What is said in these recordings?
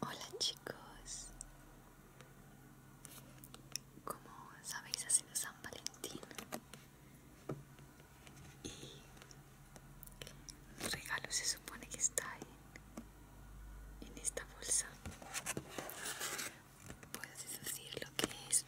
Hola chicos, como sabéis ha sido San Valentín y el regalo se supone que está en, en esta bolsa. Puedes decir lo que es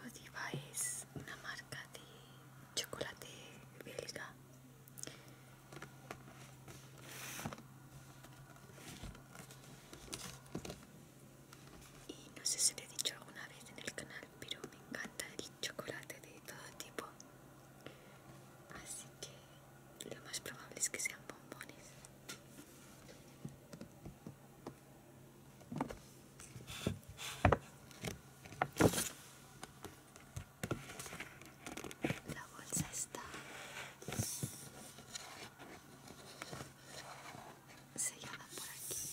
Godiva es una marca de chocolate belga y no sé si te he dicho alguna vez en el canal, pero me encanta el chocolate de todo tipo. Así que lo más probable es que sean bombones. La bolsa está sellada por aquí.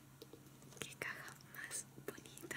Qué caja más bonita.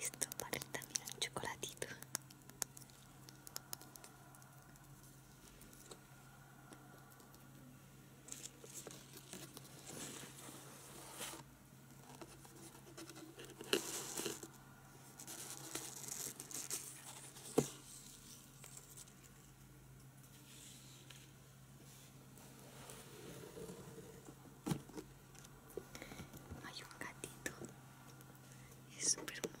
Esto para también un chocolatito. Hay un gatito, es súper mono.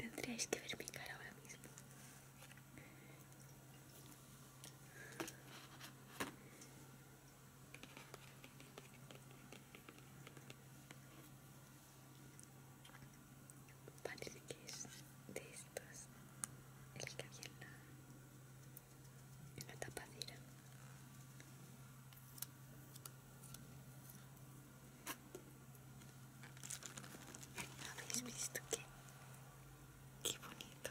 Tendríais que ver mi cara ahora mismo. Parece que es de estos el que había en la, en la tapadera. ¿Habéis visto qué? Qué bonito.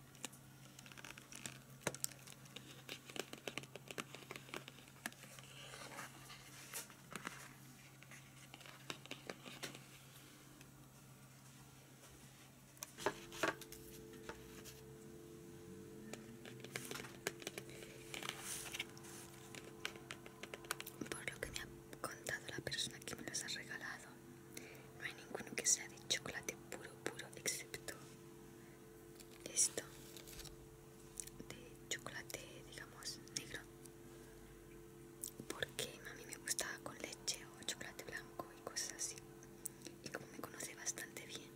Por lo que me ha contado la persona que me los ha regalado, no hay ninguno que sea de chocolate puro, puro, excepto esto de chocolate digamos negro porque a mí me gustaba con leche o chocolate blanco y cosas así y como me conoce bastante bien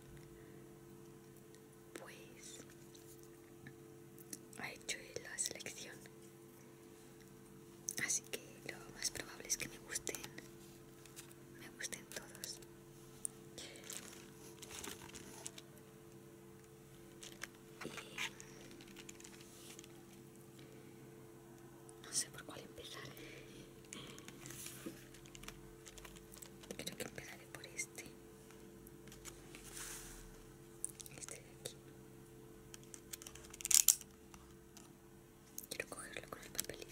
pues ha hecho la selección así que lo más probable es que me gusten me gusten todos no sé por cuál empezar creo que empezaré por este este de aquí Quiero cogerlo con el papelito.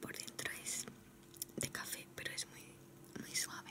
Por dentro es de café, pero es muy, muy suave.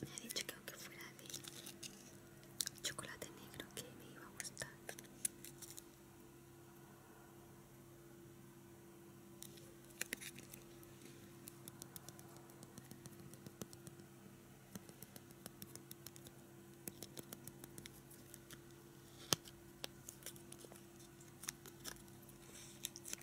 Me ha dicho que aunque fuera de chocolate negro que me iba a gustar.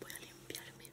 Voy a limpiarme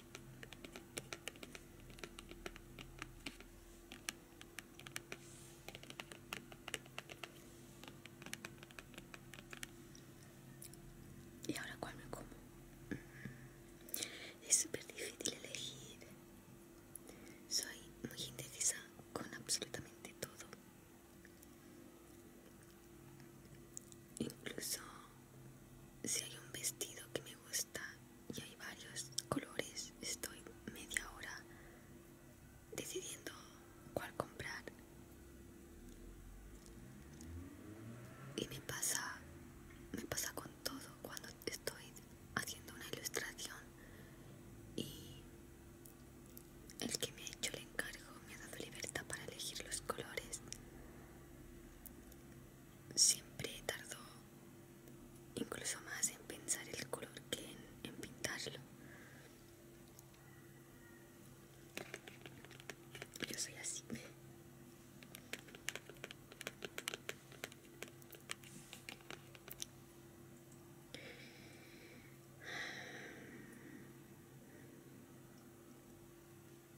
Y ahora cuál me como. Mm. Es súper difícil elegir. Soy muy indecisa con absolutamente todo. Incluso si hay un vestido que me gusta y hay varios colores, estoy media hora decidiendo cuál comprar. Y me pasa, me pasa con todo cuando estoy haciendo una ilustración y el que me ha hecho el encargo me ha dado libertad para elegir los colores siempre tardó incluso más en pensar el color que en, pintarlo. Yo soy así.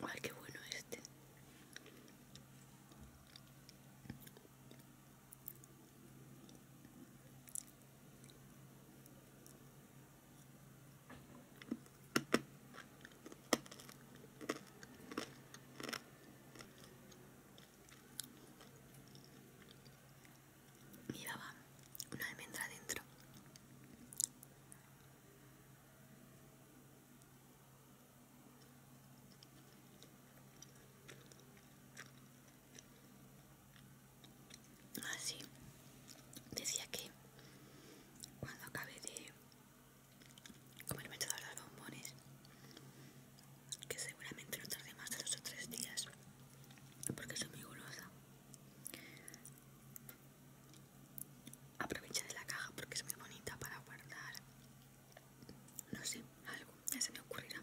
Ay, qué bueno este. Miraba una almendra dentro. Así ah, decía que cuando acabe de comerme todos los bombones, que seguramente no tarde más de dos o tres días, porque soy muy golosa. de la caja porque es muy bonita para guardar. No sé, algo, ya se me ocurrirá.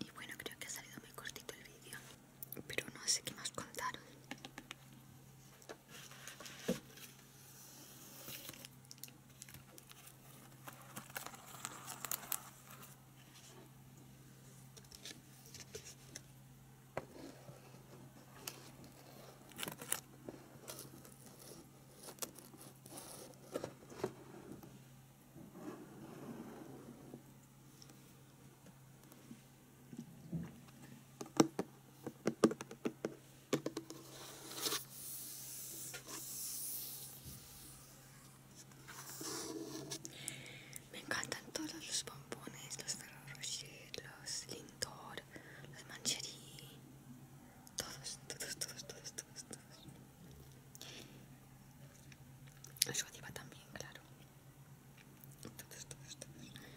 Y bueno, creo que ha salido muy cortito el vídeo, pero no sé qué más contaron me encantan todos los bombones, los ferrero los pintor, los mancherí, todos, todos, todos, todos, todos, todos. todos, también, claro. Todos, todos, todos.